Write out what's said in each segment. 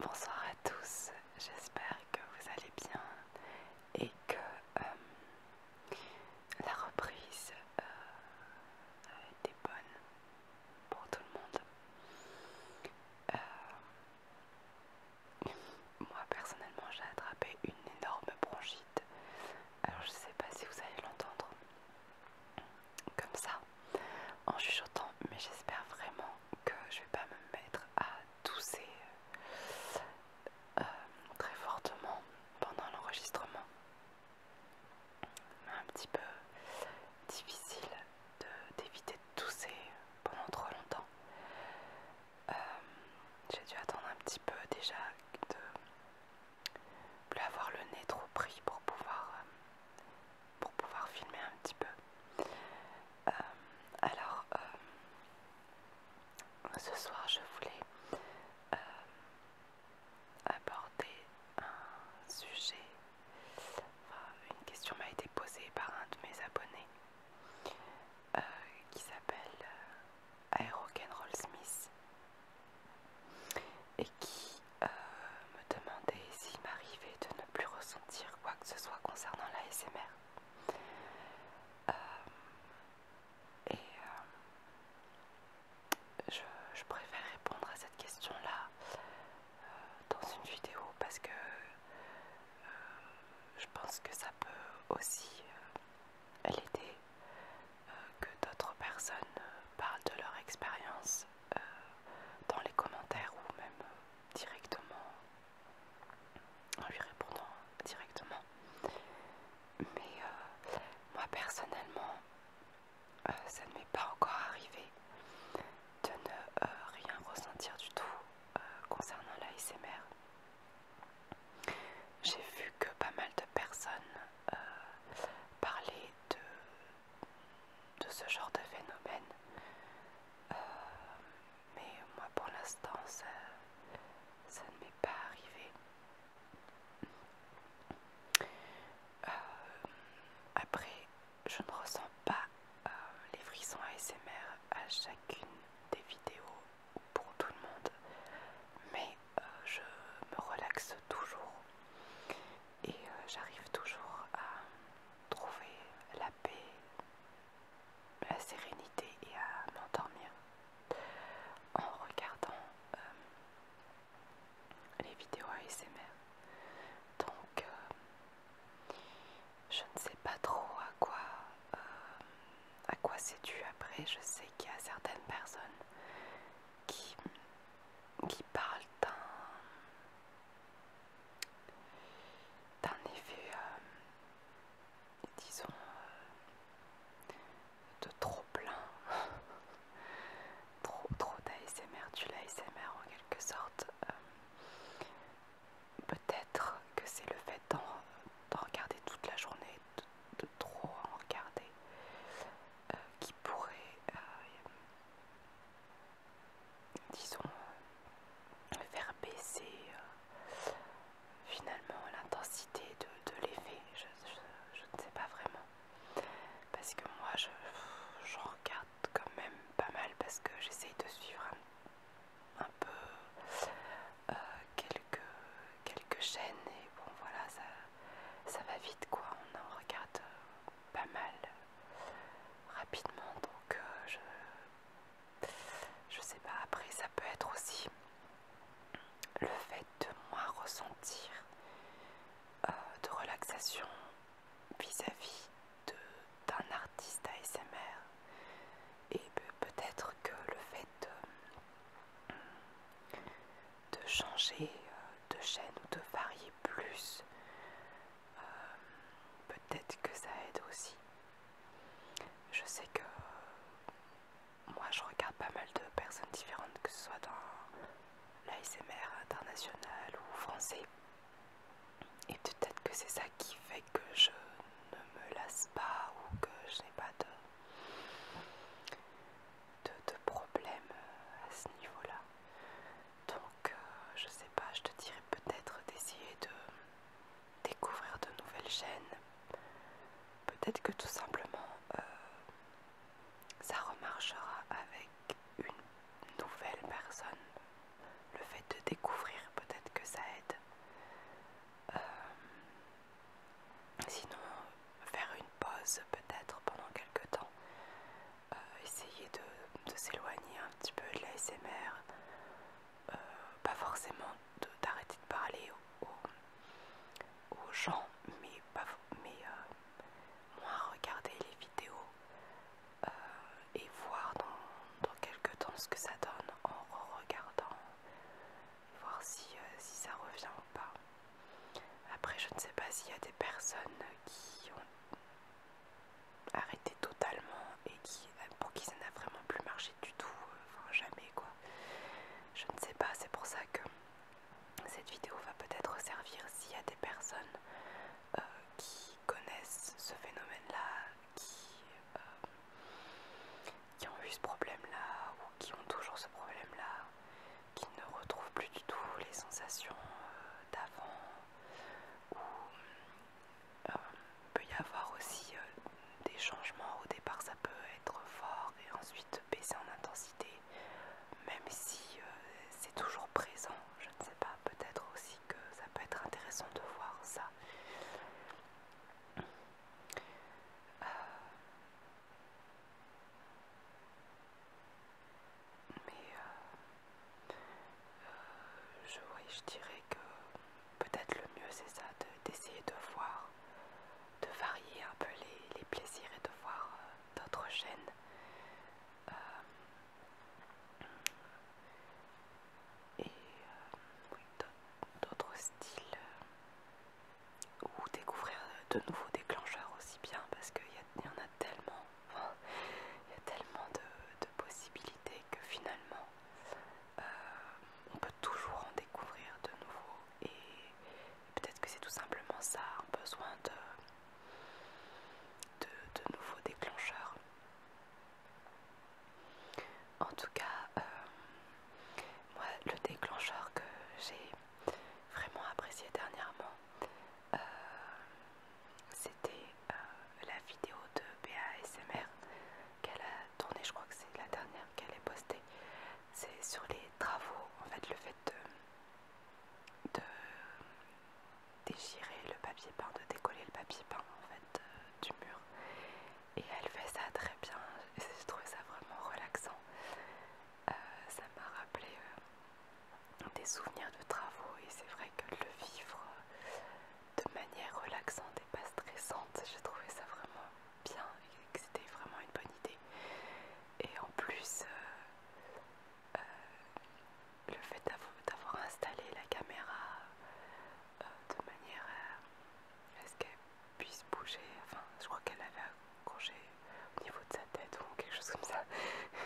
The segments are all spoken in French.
Bonsoir à tous, j'espère que vous allez bien et que euh, la reprise euh, a été bonne pour tout le monde. Euh, moi personnellement j'ai attrapé une énorme bronchite alors je sais pas si vous allez l'entendre comme ça en chuchotant, mais j'espère vraiment que je vais pas me mettre à tousser euh, très fortement pendant l'enregistrement. C'est Un petit peu difficile d'éviter de, tousser pendant trop longtemps. Euh, j'ai dû attendre un petit peu déjà de plus avoir le nez trop pris pour pouvoir, euh, pour pouvoir filmer un petit peu. Euh, alors, euh, ce soir, je voulais aborder un sujet. une question m'a été posée par un de mes abonnés qui s'appelle à Rolls Smith et qui euh, me demandait s'il m'arrivait de ne plus ressentir quoi que ce soit concernant la SMR. Euh, et euh, je, préfère répondre à cette question-là dans une vidéo parce que je pense que ça peut aussi l'aider que d'autres personnes euh, parlent de leur expérience euh, dans les commentaires ou même euh, directement en lui répondant directement. Mais moi personnellement, ça ne m'est pas encore arrivé de ne rien ressentir du tout concernant l'ASMR. J'ai vu que pas mal de personnes euh, parlaient de, ce genre de phénomène. Euh, mais moi pour l'instant ça, ne m'est pas arrivé. Euh, après, je ne ressens pas les frissons ASMR à chacune des vidéos pour tout le monde, mais euh, je me relaxe toujours et euh, j'arrive toujours à trouver la paix, la sérénité et à m'endormir en regardant euh, les vidéos ASMR. Donc, je ne sais pas trop à quoi à quoi c'est dû après. Je sais qu'il y a certaines personnes qui, parlent d'un effet, euh, disons, euh, de trop plein, trop, trop d'ASMR, du l'ASMR en quelque sorte. Euh, peut-être que c'est le fait d'en regarder toute la journée, de, trop en regarder euh, qui pourrait, euh, disons, euh, faire baisser finalement l'intensité de, l'effet. Je, ne sais pas vraiment. Parce que moi, je, regarde quand même pas mal parce que j'essaye de suivre un, peu quelques, quelques chaînes et bon voilà, ça, ça va vite quoi, on en regarde euh, pas mal euh, rapidement donc euh, je je sais pas, après ça peut être aussi le fait de moins ressentir de relaxation vis-à-vis d'un artiste ASMR et peut-être que le fait de de changer euh, de chaîne ou de varier plus. Euh, peut-être que ça aide aussi. Je sais que euh, moi je regarde pas mal de personnes différentes, que ce soit dans l'ASMR international ou français. Et peut-être que c'est ça qui fait que je ne me lasse pas ou que je n'ai pas de, de, problèmes euh, à ce niveau-là. Donc, euh, je sais pas, je te dirais peut-être d'essayer de découvrir de nouvelles chaînes. Peut-être que tout simplement, euh, ça remarchera avec une nouvelle personne. Le fait de découvrir, peut-être que ça aide. Sinon, faire une pause peut-être pendant quelques temps, euh, essayer de, s'éloigner un petit peu de l'ASMR, euh, pas forcément d'arrêter de, parler aux, gens, mais, euh, moins regarder les vidéos et voir dans, dans quelques temps ce que ça donne en regardant voir euh, si, ça revient ou pas. Après, je ne sais pas s'il y a des personnes qui ont arrêté totalement et qui, euh, pour qui ça n'a vraiment plus marché du tout, euh, enfin jamais quoi. Je ne sais pas, c'est pour ça que cette vidéo va peut-être servir s'il y a des personnes qui connaissent ce phénomène-là, qui, qui ont eu ce problème-là ou qui ont toujours ce problème-là qui ne retrouve plus du tout les sensations euh, d'avant, ou euh, il peut y avoir aussi euh, des changements. Au départ, ça peut être fort et ensuite baisser en intensité, même si c'est toujours présent. Je ne sais pas, peut-être aussi que ça peut être intéressant de voir ça. Mais euh, euh, je, dirais que peut-être le mieux c'est ça, d'essayer de, voir, de varier un peu les, plaisirs et de voir euh, d'autres chaînes. et d'autres styles ou découvrir de nouveaux déclencheurs aussi bien parce qu'il y, en a tellement, il y a tellement de, possibilités que finalement euh, on peut toujours en découvrir de nouveaux et peut-être que c'est tout simplement ça, un besoin de, de, nouveaux déclencheurs. En tout cas, euh, moi le déclencheur que j'ai vraiment apprécié dernièrement, euh, c'était euh, la vidéo de BASMR qu'elle a tournée, je crois que c'est la dernière qu'elle a postée. C'est sur les travaux, en fait le fait de, de déchirer le papier peint, de décoller le papier peint en fait euh, du mur. Et elle fait ça très bien, j'ai trouvé ça vraiment relaxant. Euh, ça m'a rappelé euh, des souvenirs de travaux et c'est vrai que le vivre euh, de manière relaxante et pas stressante, j'ai trouvé ça vraiment bien et que c'était vraiment une bonne idée. Et en plus, le fait d'avoir installé la caméra de manière puisse bouger. Enfin, je crois qu'elle avait accroché au niveau de sa tête ou quelque chose comme ça.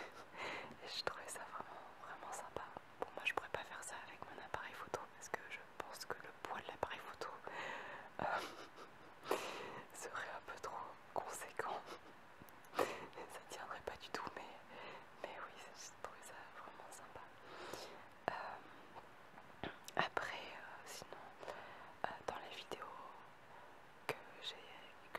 Et je trouvais ça vraiment, vraiment sympa. Bon, moi je pourrais pas faire ça avec mon appareil photo parce que je pense que le poids de l'appareil photo euh, serait un peu trop conséquent. ça tiendrait pas du tout, mais, mais oui, je trouvé ça vraiment sympa. Euh, après, euh, sinon, dans les vidéos que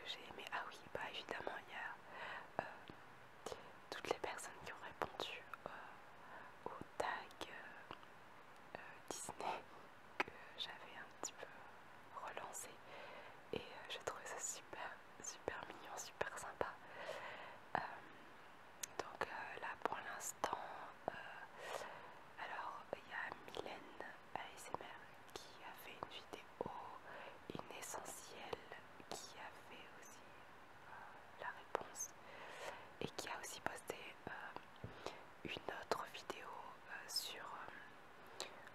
j'ai aimé. Ah oui, bah évidemment, il y a euh, toutes les personnes qui ont répondu euh, au tag euh, Disney que j'avais un petit peu relancé. Et je j'ai trouvé ça super, super mignon, super sympa. donc là pour l'instant, alors il y a Mylène ASMR qui a fait une vidéo, une essentielle qui a fait aussi euh, la réponse et qui a aussi posté euh, une autre vidéo euh, sur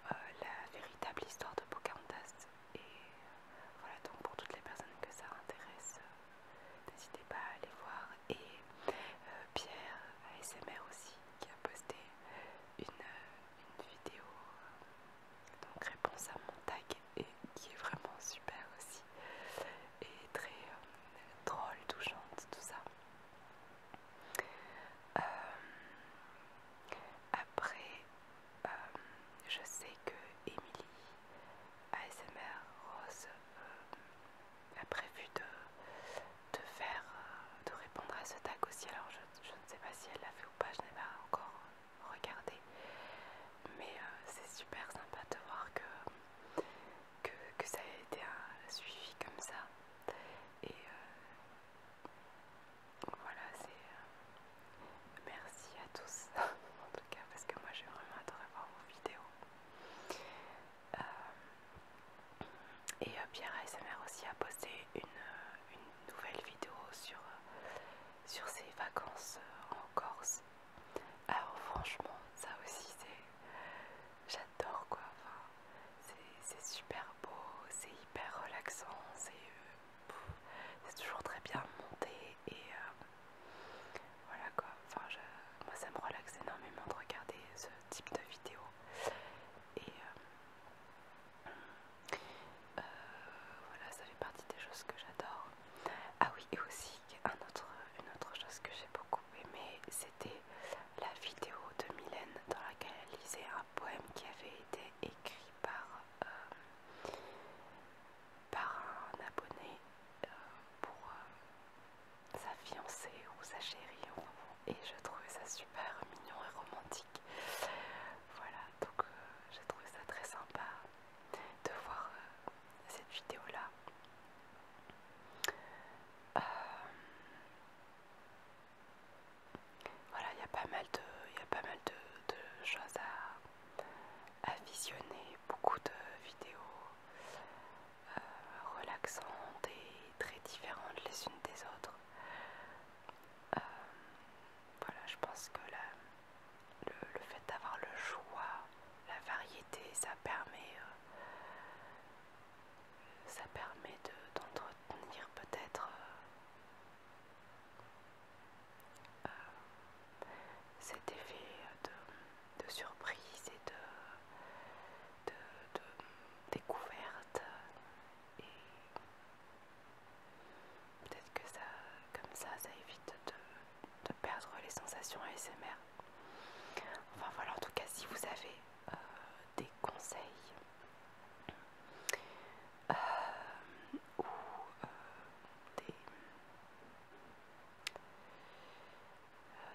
la véritable histoire de Pocahontas et voilà donc pour toutes les personnes que ça intéresse n'hésitez pas à aller voir et Pierre ASMR aussi qui a posté une, vidéo euh, donc réponse à mon tag et qui est vraiment super aussi et très euh, drôle, touchante, tout ça. Euh, après, je sais que Emily ASMR Rose a prévu de, de faire, euh, de répondre à ce tag aussi. Alors je, ne sais pas si elle l'a fait ou pas, je n'ai pas encore regardé. Mais euh, c'est super sympa de voir que, que, que ça a été un suivi comme ça. Et euh, voilà, c'est... merci à tous, en tout cas, parce que moi j'ai vraiment adoré voir vos vidéos. Euh, et euh, Pierre ASMR aussi a posté une, euh, nouvelle vidéo sur, sur ses vacances en Corse. Alors franchement, ça aussi c'est... J'adore quoi, c'est super beau, c'est hyper relaxant, c'est toujours très bien monté et voilà quoi, enfin moi ça me relaxe énormément de regarder ce type de vidéo et euh, euh, voilà ça fait partie des choses que j'adore ah oui et aussi un une autre chose que j'ai beaucoup aimé c'était la vidéo de Mylène dans laquelle elle lisait un poème qui avait été écrit par euh, un abonné pour sa fiancée ou sa chérie. Et je trouvais ça super mignon et romantique. Voilà, donc euh, j'ai trouvé ça très sympa de voir euh, cette vidéo-là. Euh, voilà, il y a pas mal de, y a pas mal de, de choses à visionner, beaucoup de vidéos relaxante euh, relaxantes et très différentes les unes des autres. Euh, voilà, je pense que le, fait d'avoir le choix, la variété, ça permet, euh, ça permet d'entretenir peut-être cet effet de, de surprise et de de, découverte et peut-être que ça comme ça ça évite de, de perdre les sensations ASMR enfin voilà en tout cas si vous avez euh, des conseils euh, ou euh,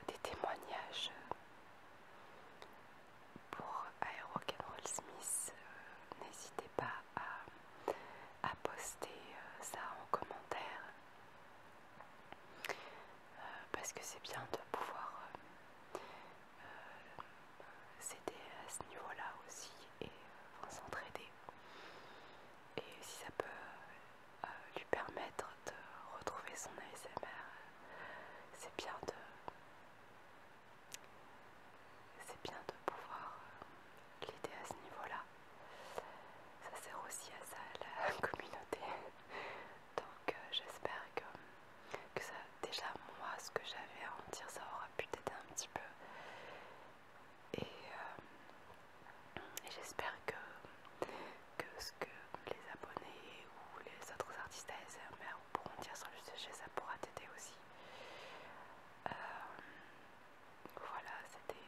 des témoignages pour euh, Roll Smith, euh, n'hésitez pas à, poster euh, ça en commentaire parce que c'est bien de pouvoir s'aider à ce niveau-là aussi et s'entraider. Et si ça peut lui permettre de retrouver son ASMR, c'est bien de, c'est bien de pouvoir euh, l'aider à ce niveau-là. Ça sert aussi à ça, la communauté. Donc euh, j'espère que, ça, déjà moi, ce que j'avais à en dire, ça aura pu t'aider un petit peu. Et, euh, et j'espère que, que ce que les abonnés ou les autres artistes ASMR pourront dire sur le sujet, ça pourra t'aider aussi. Euh, voilà, c'était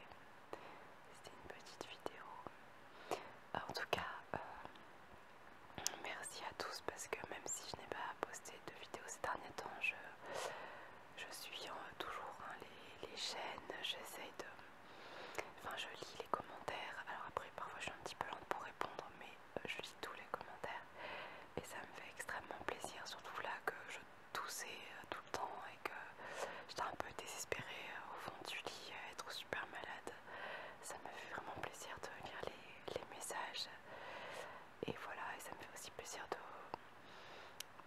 une petite vidéo. Euh, en tout cas, euh, merci à tous parce que même si je n'ai pas posté de vidéos ces derniers temps, je, je suis toujours hein, les, les chaînes, j'essaye de... Enfin, je lis les commentaires. Alors après, parfois je suis un petit peu lente pour répondre, mais euh, je lis tous les commentaires et ça me fait extrêmement plaisir, surtout là que je toussais euh, tout le temps et que j'étais un peu désespérée euh, au fond du lit être super malade. Ça me fait vraiment plaisir de lire les, messages et voilà, et ça me fait aussi plaisir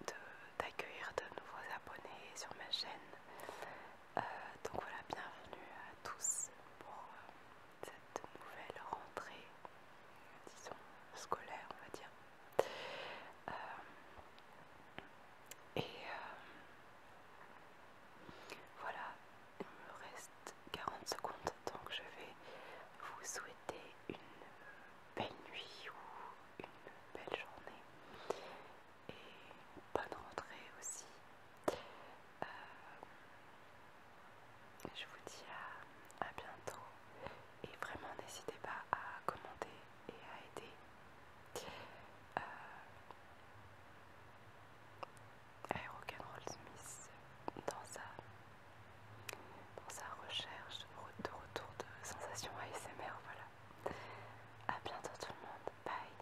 d'accueillir de, de nouveaux abonnés sur ma chaîne. donc voilà, bienvenue à tous pour, cette nouvelle rentrée, disons scolaire, on va dire. Euh, et euh, voilà, il me reste 40 secondes, donc je vais vous souhaiter une belle nuit ou une belle journée et bonne rentrée aussi euh, je vous dis à, bientôt et vraiment n'hésitez pas à commenter et à aider. Euh, Rolls Smith dans sa, sa recherche de retour de sensations ASMR, voilà. à bientôt tout le monde, bye